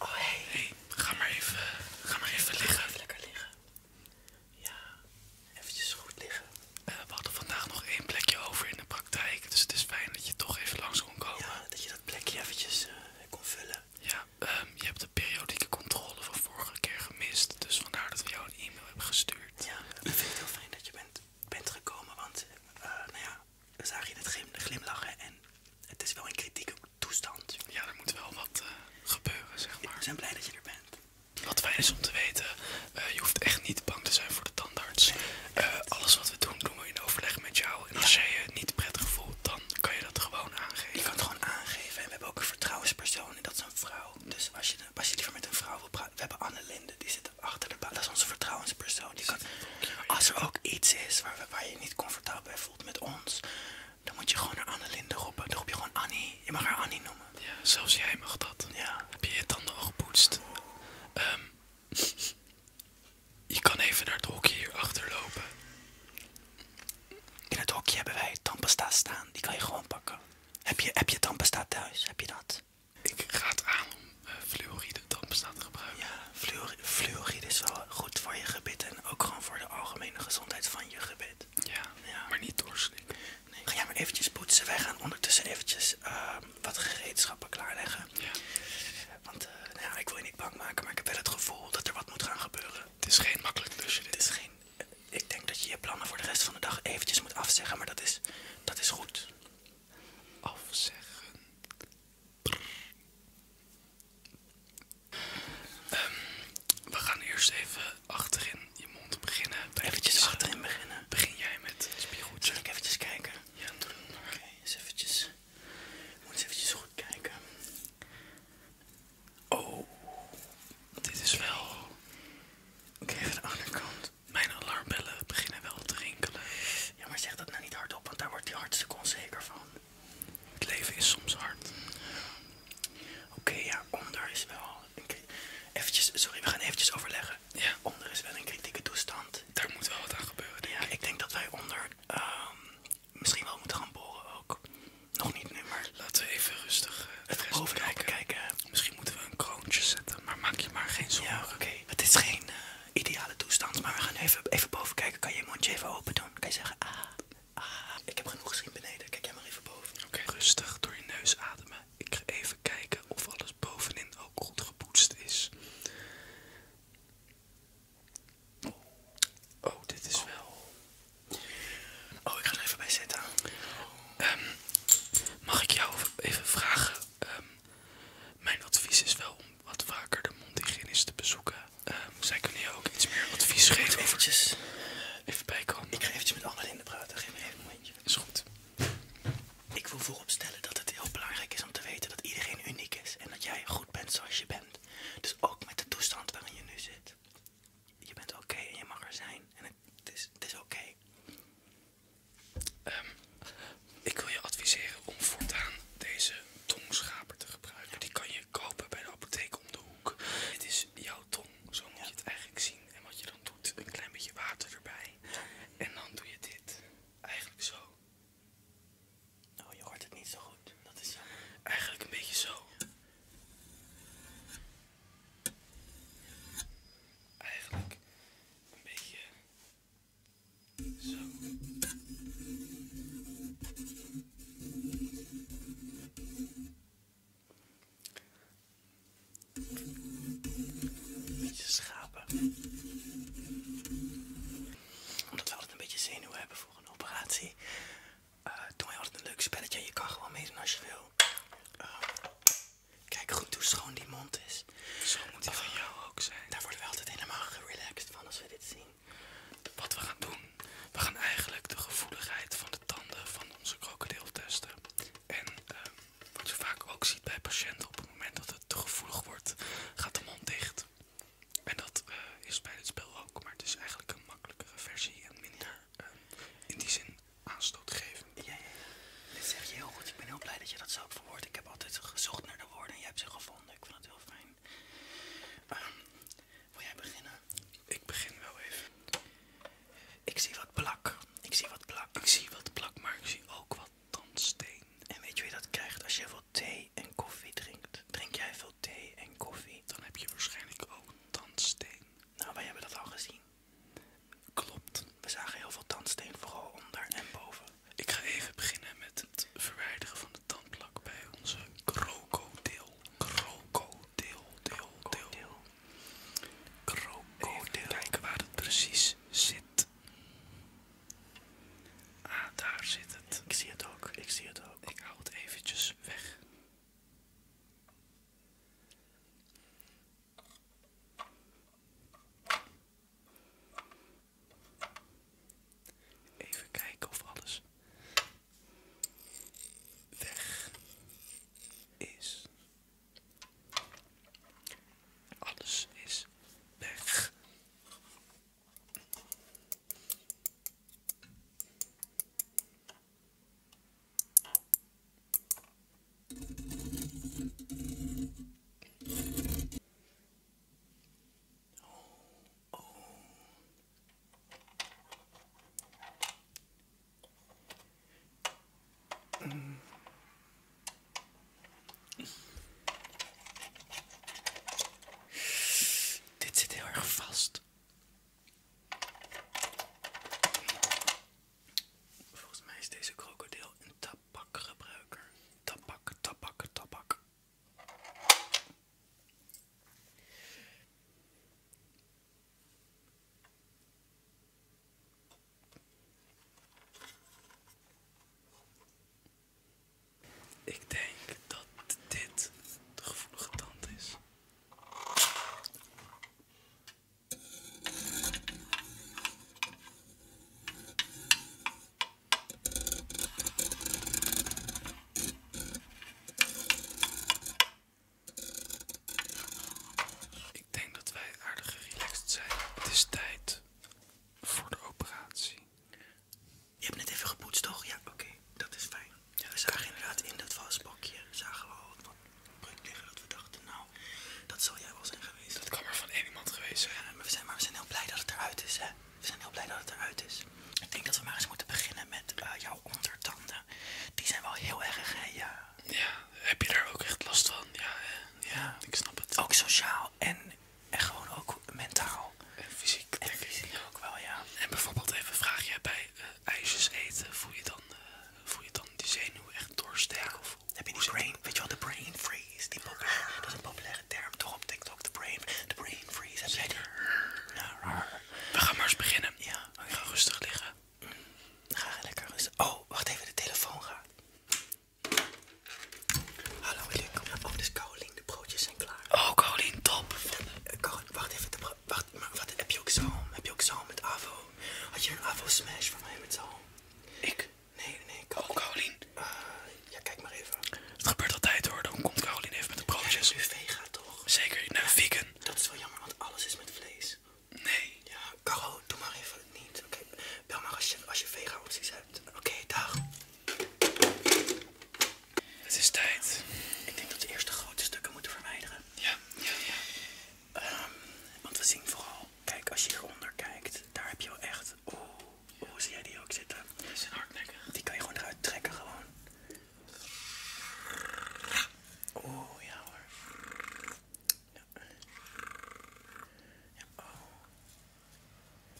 Oh, hey. Ga maar even, ga maar even liggen. lekker liggen. Ja, eventjes goed liggen. Eh, we hadden vandaag nog één plekje over in de praktijk, dus het is fijn dat je toch even langs kon komen. Ja, dat je dat plekje eventjes eh, kon vullen. Ja, ehm, je hebt de periodieke controle van vorige keer gemist, dus vandaar dat we jou een e-mail hebben gestuurd. Ja, ik vind het heel fijn dat je bent, bent gekomen, want eh, nou ja, dan zag je het glimlachen en het is wel een kritieke toestand. Ja, er moet wel wat eh, gebeuren, zeg maar. We zijn blij dat je er bent. Wat fijn is om te weten, eh, je hoeft echt niet bang te zijn voor de tandarts. Eh, alles wat we doen, doen we in overleg met jou. En als jij je niet prettig voelt, dan kan je dat gewoon aangeven. Je kan het gewoon aangeven. En we hebben ook een vertrouwenspersoon en dat is een vrouw. Dus als je, als je liever met een vrouw wil praten, we hebben Anne Linde, die zit achter de baan. Dat is onze vertrouwenspersoon. als er ook iets is waar waar je je niet comfortabel bij voelt met ons, dan moet je gewoon naar Annelinde roepen. Dan roep je gewoon Annie. Je mag haar Annie noemen. Ja, zelfs jij mag dat. Ja. Heb je je tanden nog gepoetst? Ehm, je kan even naar het hokje hier achter lopen. In het hokje hebben wij tandpasta staan. Die kan je gewoon pakken. Heb je, heb je thuis? Heb je dat? Ik ga het aan om eh, fluoride gebruiken. Ja, fluor fluoride is wel goed voor je gebit en ook gewoon voor de algemene gezondheid van je gebit. Ja, maar niet doorslikken. Ga jij maar eventjes poetsen. Wij gaan ondertussen eventjes ehm, wat gereedschappen klaarleggen. Ja. Want eh, nou ja, ik wil je niet bang maken, maar ik heb wel het gevoel dat er wat moet gaan gebeuren. Het is geen makkelijk tussen dit. is geen, eh, ik denk dat je je plannen voor de rest van de dag eventjes moet afzeggen, maar dat is, dat is goed. Afzeggen. Ehm, we gaan eerst even achterin je mond beginnen. Eventjes eh, achterin beginnen. Begin jij met het spiegeltje. Zal ik eventjes kijken? Ja, doen. we maar. eens even Moet eens eventjes goed kijken. Oh, dit is wel... Oké, okay, even de andere kant. Mijn alarmbellen beginnen wel te rinkelen. Ja, maar zeg dat nou niet hardop, want daar wordt hij hartstikke onzeker van. Het leven is soms hard. Oké, ja, onder is wel. Eventjes, sorry, we gaan eventjes overleggen. Ja. Onder is wel een kritieke toestand. Daar moet wel wat aan gebeuren. ja, ik. denk dat wij onder ehm, misschien wel moeten gaan boren ook. Nog niet nu, maar. Laten we even rustig uh, het rest bekijken. Misschien moeten we een kroontje zetten, maar maak je maar geen zorgen. Ja, oké. Het is geen. Eh, ideale toestand. Maar we gaan even, even boven kijken. Kan je je mondje even open doen? Kan je zeggen, ah, ah. Ik heb genoeg gezien beneden. Kijk jij maar even boven. Oké, rustig door je neus ademen. Ik ga even kijken of alles bovenin ook goed gepoetst is. Oh, dit is wel... Oh, ik ga er even bij zitten. Ehm, mag ik jou even vragen? Ehm, mijn advies is wel om wat vaker de mondhygiënist te bezoeken. Ehm, zij kunnen je ook iets meer advies geven. Eventjes. Even bijkomen. Ik ga eventjes met Annelinde praten. Geef me even een momentje. Is goed. Ik wil vooropstellen dat het heel belangrijk is om te weten dat iedereen uniek is. En dat jij goed bent zoals je bent. Dus ook met de toestand waarin je nu zit. Je bent oké en je mag er zijn. En het is, oké. Ehm, ik wil je adviseren om voortaan deze tongschaper te gebruiken. Die kan je kopen bij de apotheek om de hoek. Het is jouw tong, zo moet je het eigenlijk zien. En wat je dan doet, een klein beetje water erbij. En dan doe je dit. Eigenlijk zo. Nou, je hoort het niet zo goed. Dat is Eigenlijk een beetje zo. Eigenlijk een beetje een beetje schapen. Omdat we altijd een beetje zenuw hebben voor een operatie, eh, Doe doen altijd een leuk spelletje. je kan gewoon doen als je wil. kijk goed hoe schoon die mond is. Zo moet die van jou ook zijn. Daar worden we altijd helemaal gerelaxed van als we dit zien. Wat we gaan doen, we gaan eigenlijk de gevoeligheid van de tanden van onze krokodil testen. En ehm, wat je vaak ook ziet bij patiënten, op het moment dat het te gevoelig wordt, gaat de mond dicht. En dat eh, is bij dit spel ook, maar het is eigenlijk een makkelijkere versie en minder ehm, in die zin aanstootgevend. Ja, ja, ja. Dit zeg je heel goed. Ik ben heel blij dat je dat zo verwoordt. Ik heb altijd gezocht naar de woorden en je hebt ze gevonden. Ik vind het heel fijn. Ehm, wil jij beginnen? Ik begin wel even. Ik zie wat plak. Ik zie wat plak. Ik zie wat plak, maar ik zie ook wat tandsteen. En weet je wie dat krijgt als je veel thee en koffie drinkt? Drink jij veel thee en koffie? Dan heb je waarschijnlijk ook tandsteen. Nou, wij hebben dat al gezien. Klopt. We zagen heel veel tandsteen, vooral onder en boven. Ik ga even beginnen met het verwijderen van de tandplak bij onze krokodil. Krokodil, deel deel Krokodil. Kijken waar het precies zit. Ah, daar zit het. Ik zie het ook, ik zie het ook. Ik hou het eventjes weg. Even kijken of alles weg is. Alles is weg. oh. oh. Dit zit heel erg vast. Volgens mij is deze krokodil een tabakgebruiker. Tabak, tabak, tabak. Ik denk dat dit de gevoelige tand is. Ik denk dat wij aardig gerelaxed zijn. Het is tijd voor de operatie. Je hebt net even gepoetst, toch? Ja, oké, dat is fijn. we zagen inderdaad in dat vastbakje zagen we al wat breuk liggen dat we dachten, nou, dat zal jij wel zijn geweest. Dat kan maar van één iemand geweest zijn maar we zijn heel blij dat het eruit is, hè? We zijn heel blij dat het eruit is. Ik denk dat we maar eens moeten beginnen met eh, jouw ondertanden. Die zijn wel heel erg, Ja. ja, heb je daar ook echt last van? Ja, ja, ik snap het. Ook sociaal en, en gewoon ook mentaal. En fysiek, en fysiek ook wel, ja. En bijvoorbeeld even vraag jij bij eh, ijsjes eten, voel je, dan, eh, voel je dan die zenuw echt doorsteken? Of, heb je die brain, weet je wel, de brain freeze, die populair, ah. dat is een term toch op TikTok, de brain, de brain freeze. Ja, We gaan maar eens beginnen. Ja, ga rustig liggen. Mm. Ga lekker rustig. Oh, wacht even, de telefoon gaat. Hallo, Willem. Oh, dus Caroline, de broodjes zijn klaar. Oh, Caroline, top. Eh, wacht even, de wacht, heb je ook zo? Heb je ook zo met Avo? Had je een Avo Smash voor mij met zo? Ik? Nee, nee, Caroline. Oh, Caroline. Eh, ja, kijk maar even. Het gebeurt altijd hoor, dan komt Caroline even met de broodjes. Ja, nu vega toch? Zeker, nou vegan. Dat is wel jammer, want alles is met vlees. Nee. Ja, Caro, doe maar even niet. Oké, bel maar als je, als je vega opties hebt. Oké, dag. Het is tijd. Ik denk dat we eerst de grote stukken moeten verwijderen. Ja, ja, ja. Ehm, want we zien vooral, kijk, als je hieronder kijkt, daar heb je wel echt. Oeh, hoe zie jij die ook zitten? Die zijn hardnekkig. Die kan je gewoon eruit trekken, gewoon. Oeh, ja hoor. Ja. Ja, oh.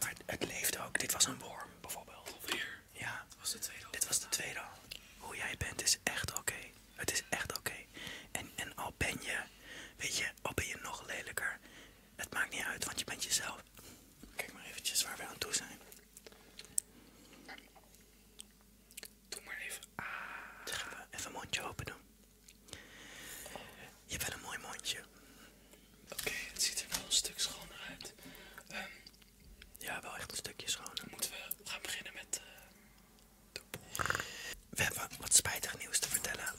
Maar het, leeft ook. Dit was een worm bijvoorbeeld. Ja. Dit was de tweede al. Hoe jij bent is echt oké. Het is echt oké. En, en al ben je, weet je, al ben je nog lelijker. Het maakt niet uit, want je bent jezelf. Kijk maar eventjes waar we aan toe zijn. Doe maar even. Ah. even een mondje open doen. Je hebt wel een mooi mondje. Oké, het ziet er wel een stuk schoner uit. Ehm, ja, wel echt een stukje schoner. Moeten we gaan beginnen met eh, We hebben wat spijtig nieuws te vertellen.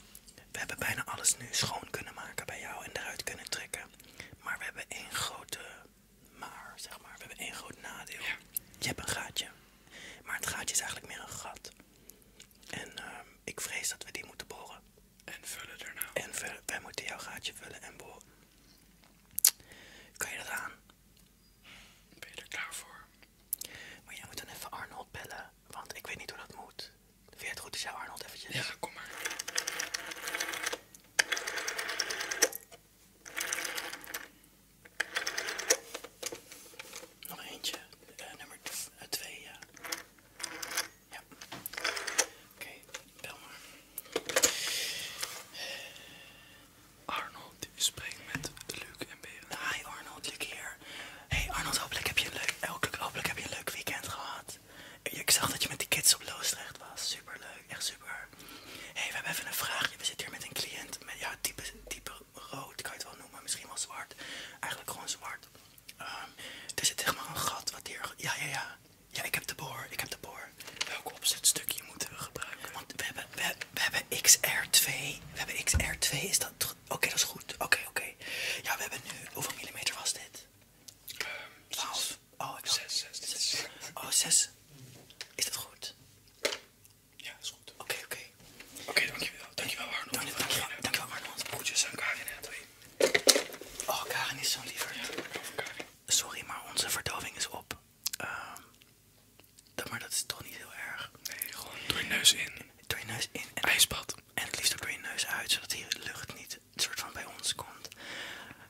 We hebben bijna alles nu schoon kunnen maken bij jou en eruit kunnen trekken. Maar we hebben één grote maar zeg maar, we hebben één groot nadeel. Je hebt een gaatje. Maar het gaatje is eigenlijk meer een gat. En ehm, ik vrees dat we die moeten boren. En vullen daarna. En vullen. wij moeten jouw gaatje vullen en boren. Kun je dat aan? Ben je er klaar voor? Maar jij moet dan even Arnold bellen. Want ik weet niet hoe dat moet. Vind je het goed als jou Arnold eventjes? Ja, kom maar. Nog eentje, eh, nummer 2. Eh, ja. ja. Oké, okay, bel maar. Eh, Arnold, u spreekt met Luc en Beren. Hi Arnold, Luc hier. Hey Arnold, hopelijk heb je een leuk, hopelijk, hopelijk heb je een leuk weekend gehad. Ik zag dat je met die kids op Loosdrecht was. superleuk echt super. Hé, hey, we hebben even een vraag We zitten hier met een cliënt. Met, ja, type, type rood kan je het wel noemen. Misschien wel zwart. Eigenlijk gewoon zwart. Ehm, er zit echt maar een gat wat hier. Ja, ja, ja. Ja, ik heb de boor. Ik heb de boor. Welk opzetstukje moeten eh, we gebruiken? Want we hebben, we, hebben XR2. We hebben XR2. Is dat. Oké, dat is goed. Oké, oké. Ja, we hebben nu. Hoeveel millimeter was dit? Um, ehm, 12. Oh, ik zes, zes, zes. Oh, zes. Is dat goed? Ja, dat is goed. Oké, oké. Oké, dankjewel. Dankjewel, Arno. Dank, dankjewel, dankjewel, Arnold. Groetjes aan Karin en twee. Oh, Karin is zo'n liever. Sorry, maar onze verdoving is op. Ehm, dat, maar dat is toch niet heel erg. Nee, gewoon door je neus in. Door je neus in. En IJsbad. En het liefst ook door je neus uit, zodat die lucht niet een soort van bij ons komt.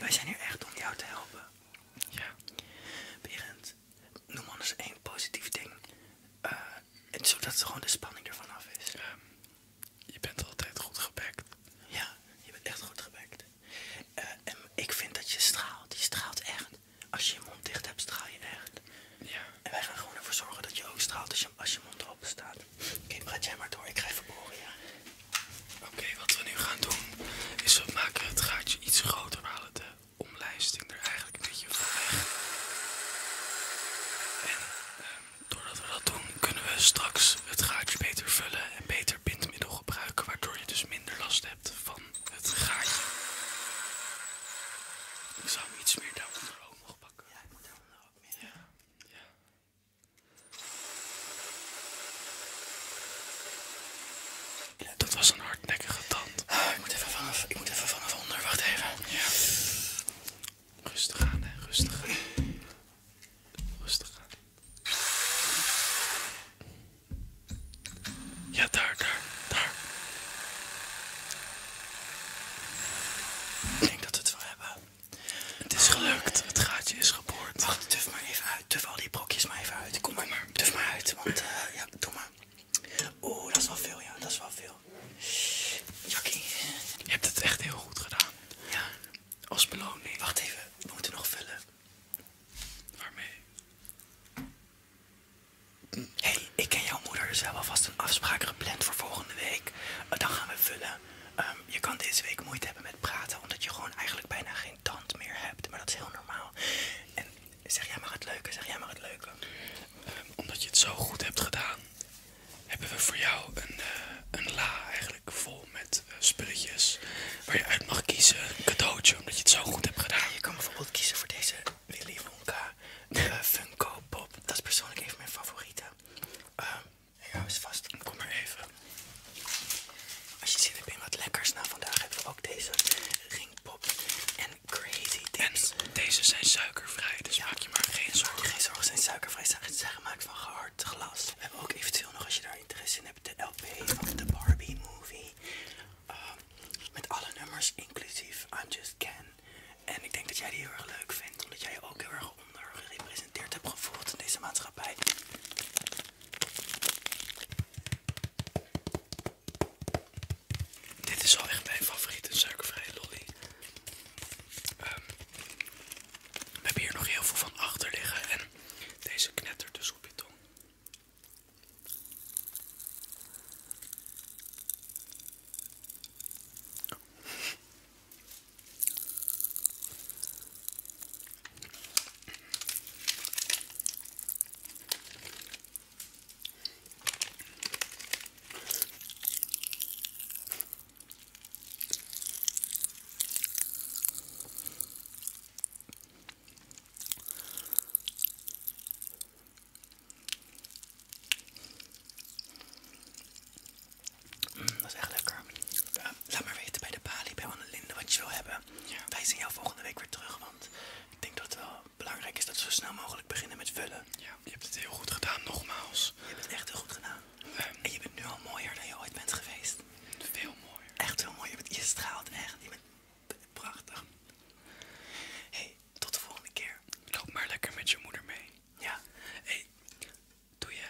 Wij zijn hier echt om jou te helpen. Ja. Berend, noem anders één positief ding. zodat eh, en zodat gewoon de spanning ervan af is. je bent altijd goed gebekt. Ja, je bent echt goed gebekt. Eh, en ik vind dat je straalt. Je straalt echt. Als je je mond dicht hebt, straal je echt. Ja. En wij gaan gewoon ervoor zorgen dat je ook straalt als je, als je mond open staat. Oké, okay, jij maar door. Ik ga even boren, ja. Oké, wat we nu gaan doen is we maken het gaatje iets groter. We halen de omlijsting er eigenlijk een beetje van weg. En ehm, doordat we dat doen kunnen we straks het gaatje beter vullen en beter bindmiddel gebruiken. Waardoor je dus minder last hebt van het gaatje. Ik zou hem iets meer daaronder ook nog pakken. Ja, ik moet daaronder ook meer. ja. Dat was een hardnekkige tand. Ah, ik, moet even vanaf, ik moet even vanaf onder, wacht even. Rustig aan, hè. rustig aan. Rustig aan. Ja, daar, daar, daar. Ik denk dat we het wel hebben. Het is gelukt, het gaatje is geboord. Wacht, tuf maar even uit, tuf al die brokjes maar even uit. Kom maar, maar tuf maar uit, want eh, ja, doe maar. Oeh, dat is wel veel, ja, dat is wel veel. Jackie, je hebt het echt heel goed gedaan. Ja, als beloning. Wacht even, we moeten nog vullen. Waarmee? Hé, ik en jouw moeder, dus we hebben alvast een afspraak gepland voor volgende week. Eh, dan gaan we vullen. Ehm, je kan deze week moeite hebben met praten, omdat je gewoon eigenlijk bijna geen tand meer hebt. Maar dat is heel normaal. En zeg jij maar het leuke, zeg jij maar het leuke. Ehm, omdat je het zo goed hebt gedaan, hebben we voor jou een, eh, la eigenlijk vol met eh, spulletjes waar je uit mag kiezen. Een cadeautje, omdat je het zo goed hebt gedaan. je kan bijvoorbeeld kiezen voor deze Willy Wonka eh, Funko Pop. Dat is persoonlijk een mijn favoriete. Ehm, ja, hou eens vast. Kom maar even. Als je zin hebt in wat lekkers, nou vandaag hebben we ook deze ringpop en crazy dips. En deze zijn suikervrij, dus ja, maak je maar geen zorgen. Geen zorgen, zijn suikervrij. Ze zijn gemaakt van gehard glas. We hebben ook eventueel nog, als je daar interesse in hebt, de LP van de Barbie movie. Ehm, met alle nummers, inclusief I'm Just Ken. En ik denk dat jij die heel erg leuk vindt, omdat jij ook heel erg ondergerepresenteerd hebt gevoeld in deze maatschappij. Dit is wel echt mijn favoriete suikervrije lolly. Ehm, we hebben hier nog heel veel van achter liggen en deze knettert dus op je tong. Dat is echt lekker laat maar weten bij de balie, bij Annelinde wat je wil hebben. Wij zien jou volgende week weer terug, want ik denk dat het wel belangrijk is dat we zo snel mogelijk beginnen met vullen. je hebt het heel goed gedaan, nogmaals. Je hebt het echt heel goed gedaan. Ehm. en je bent nu al mooier dan je ooit bent geweest. Veel mooier. Echt heel mooi. Je, bent, je straalt echt. Je bent prachtig. hey, tot de volgende keer. Loop maar lekker met je moeder mee. Ja. hey, doe je.